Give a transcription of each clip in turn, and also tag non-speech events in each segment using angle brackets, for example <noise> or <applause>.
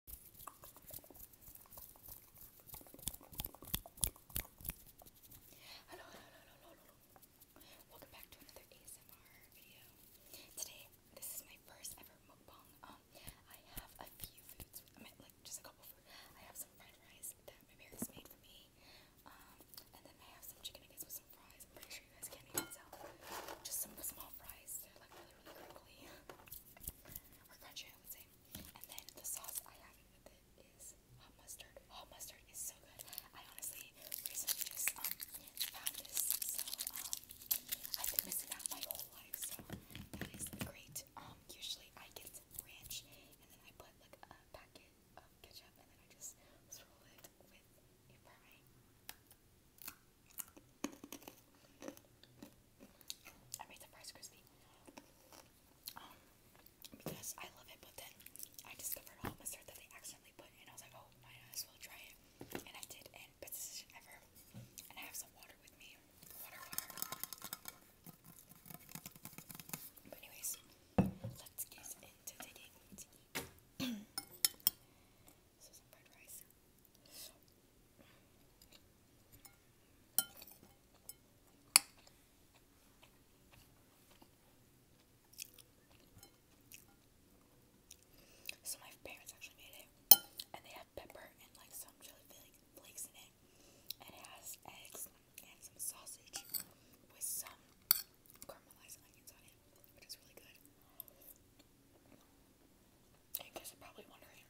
Hello, hello, hello, hello, hello. Welcome back to another ASMR video. Today, this is my first ever mukbang. Um, I have a few foods, I mean, like just a couple food. I have some fried rice that my parents made for me. Um, and then I have some chicken nuggets with some fries. pretty sure you guys can't even tell. Just some small fries. They're like really, really crinkly. <laughs> or crunchy I would say. And then the sauce I have with it is hot mustard. Hot mustard is so good. I honestly recently just um found this, um I've been missing out my whole life, so that is great. Um usually I get ranch and then I put like a packet of ketchup and then I just swirl it with a fry. I made the Rice Krispie um, because I love it, but then I discovered a hot mustard that they accidentally put in. I was like, oh, might as well try it, and I did, and best ever. And I have some water with me, water, water. But anyways, let's get into the thing to eat. So some my parents actually made it, and they have pepper and like some chili flakes in it, and it has eggs and some sausage with some caramelized onions on it, which is really good. I guess i probably wondering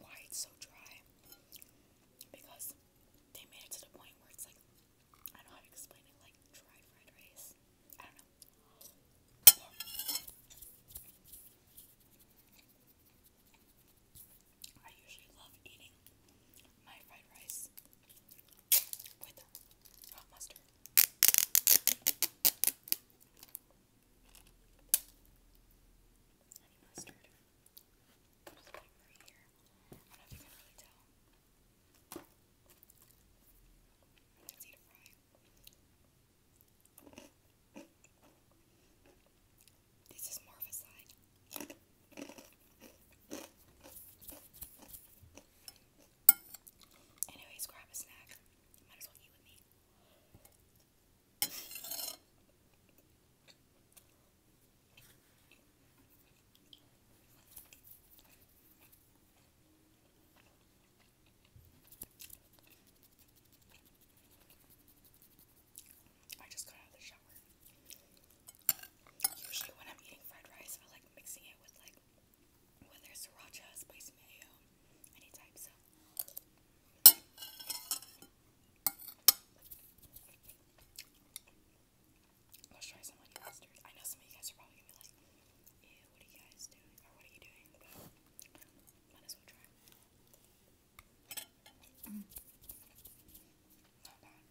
why it's so dry. Because they made it to the point where it's like, I don't know how to explain it, like dry fried rice. I usually love eating my fried rice with hot uh, mustard. I don't know, I started right here. I don't know if you can really tell. It's easy to fry. This is more of a side. Anyways, grab a snack. might as well eat with me. I just got out of the shower. Usually when I'm eating fried rice, I like mixing it with like whether sriracha, spicy mayo, any type. So let's try some honey mustard. I know some of you guys are probably gonna be like, "Ew, what are you guys doing? Or what are you doing?" But might as well try. Mm. Not bad.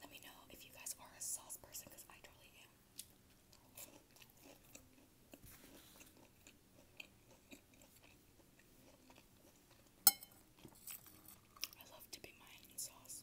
Let me know if you guys are a sauce person I totally am. I love dipping my sauce.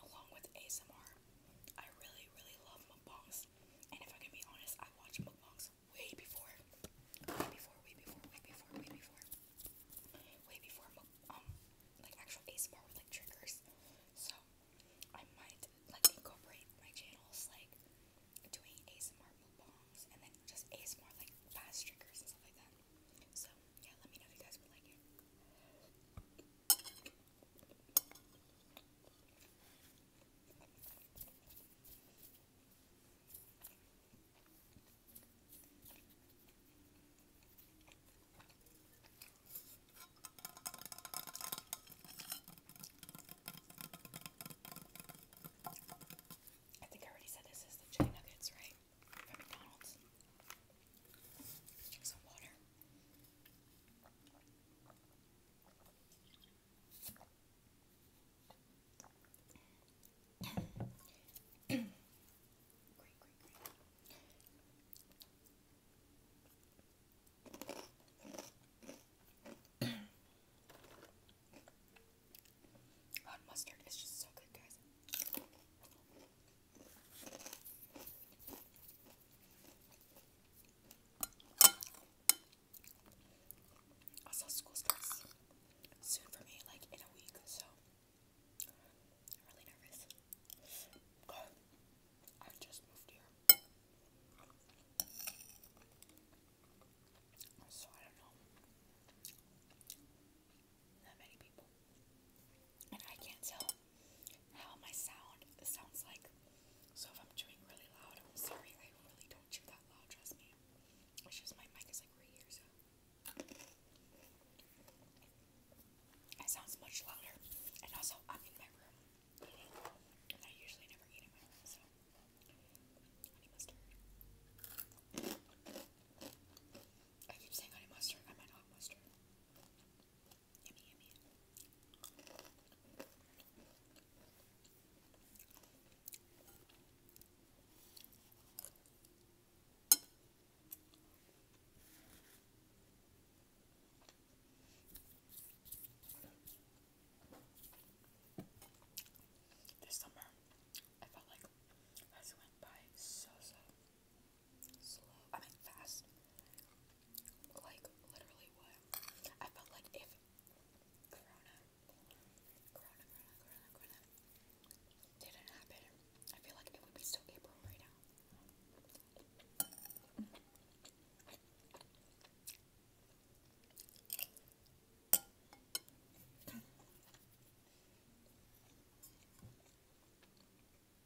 along with ASMR. I really, really love mukbangs, and if I can be honest, I watch mukbangs way before, way before, way before, way before, way before, way before um like actual ASMR with like triggers. So I might like incorporate my channels like doing ASMR mukbangs and then just ASMR like fast triggers and stuff like that. So yeah, let me know if you guys would like it. I think I already said this is the chicken nuggets, right? From McDonald's. Some water. <coughs> mustard is just so good, guys. Also, school starts soon for me, like in a week, so I'm really nervous. I just moved here. So I don't know that many people and I can't tell how my sound sounds like. So if I'm chewing really loud, I'm sorry, I really don't chew that loud, trust me. It's just my mic is like right here, so it sounds much louder. And also I'm in my room eating. And I usually never eat in my room, so honey mustard. I keep saying honey mustard. I might not mustard. This summer, I felt like I went by so so slow, I mean fast. Like literally what? I felt like if Corona, Corona, Corona, Corona, didn't happen, I feel like it would be still April right now. Let's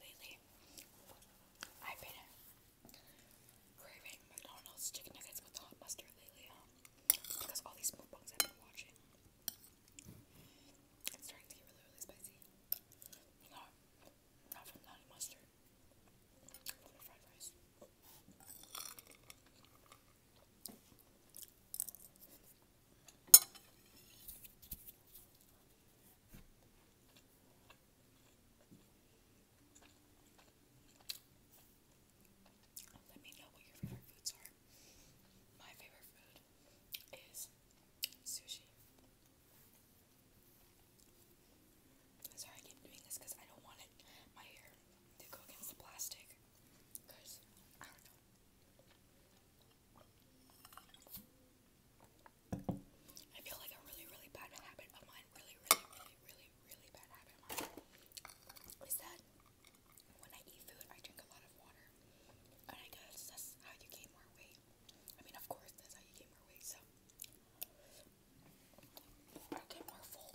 Lately, I've been craving McDonald's chicken nuggets with the hot mustard lately. Um, because all these mukbangs I've been watching, it's starting to get really, really spicy. Not, not from honey mustard, from the fried rice. Let me know what your favorite foods are. My favorite food is sushi. I'm sorry I keep doing this because I don't want it my hair to go against the plastic. Because I don't know. I feel like a really, really bad habit of mine. Really, really, really, really, really bad habit of mine is that when I eat food, I drink a lot of water. And I guess that's how you gain more weight. I mean, of course, that's how you gain more weight, so. I get more full.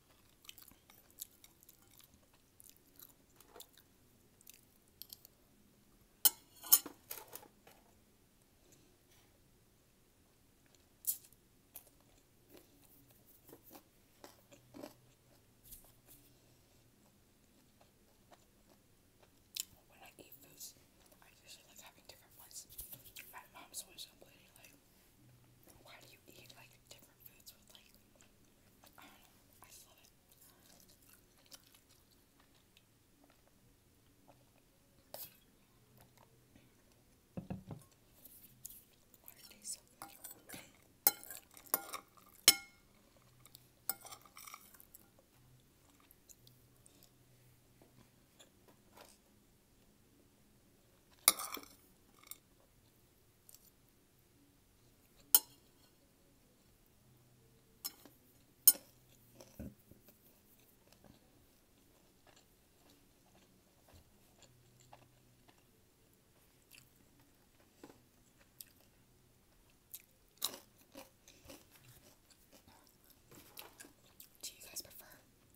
When I eat foods, I usually like having different ones. My mom's always complaining like why do you eat like different foods with like I don't know, I just love it. Do you guys prefer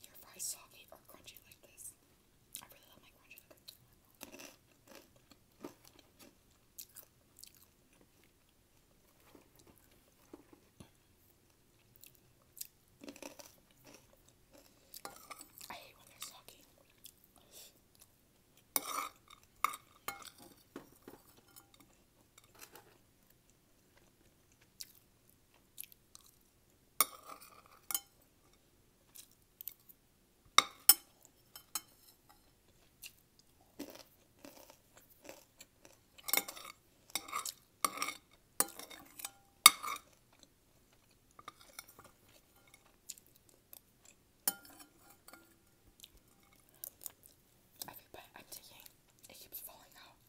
your fries soggy or crunchy like this? I really love my crunch I hate when they're soggy. Every bite I'm taking, it keeps falling out.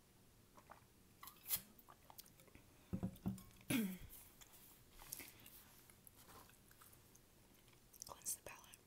Cleanse the palate.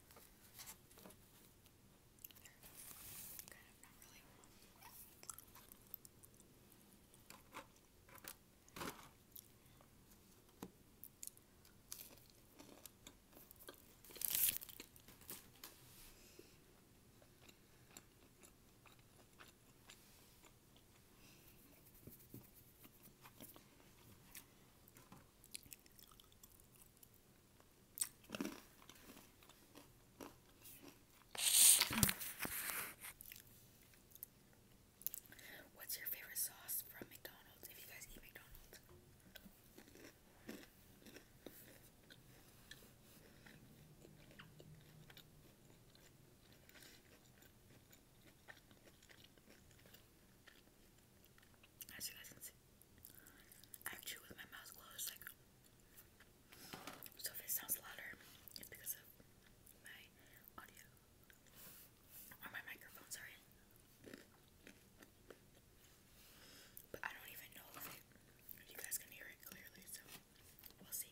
Kind of not really. What's your favorite sauce from McDonald's? If you guys eat McDonald's. As you guys can see, I chew with my mouth closed. Like, so if it sounds louder, it's because of my audio or my microphone. Sorry, but I don't even know if you guys can hear it clearly. So we'll see.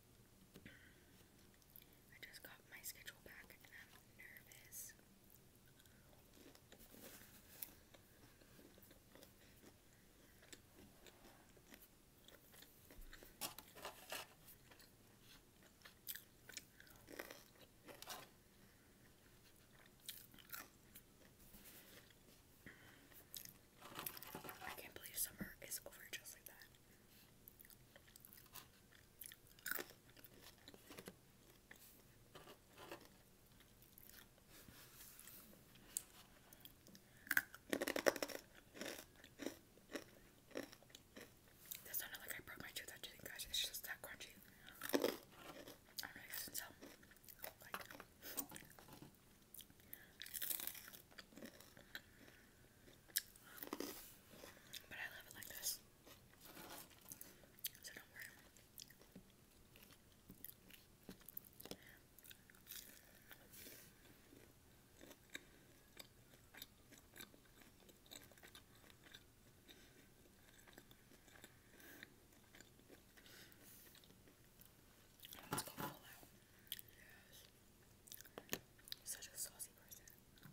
I just got my schedule back and I'm nervous. I can't believe summer is over just like that. That's not like I broke my tooth out to you guys, it's just that crunchy. I don't know if but I love it like this. So don't worry. Let's go all out. Yes. Such a saucy person.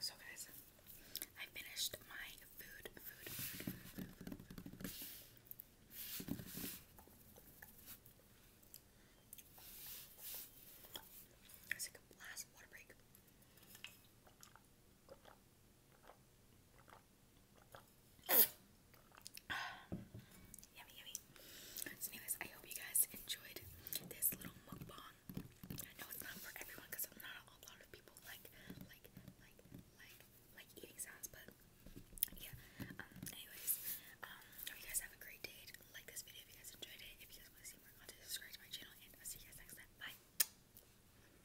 So, guys, I finished my food, food, It's like a last water break yummy, yummy. anyways, I hope you guys enjoyed this little mukbang. I know it's not for everyone because I'm not a lot of people like, like, like, like eating sounds, but yeah. Um, anyways, um, hope you guys have a great day. Like this video if you guys enjoyed it. If you guys want to see more content, subscribe to my channel, and I'll see you guys next time. Bye.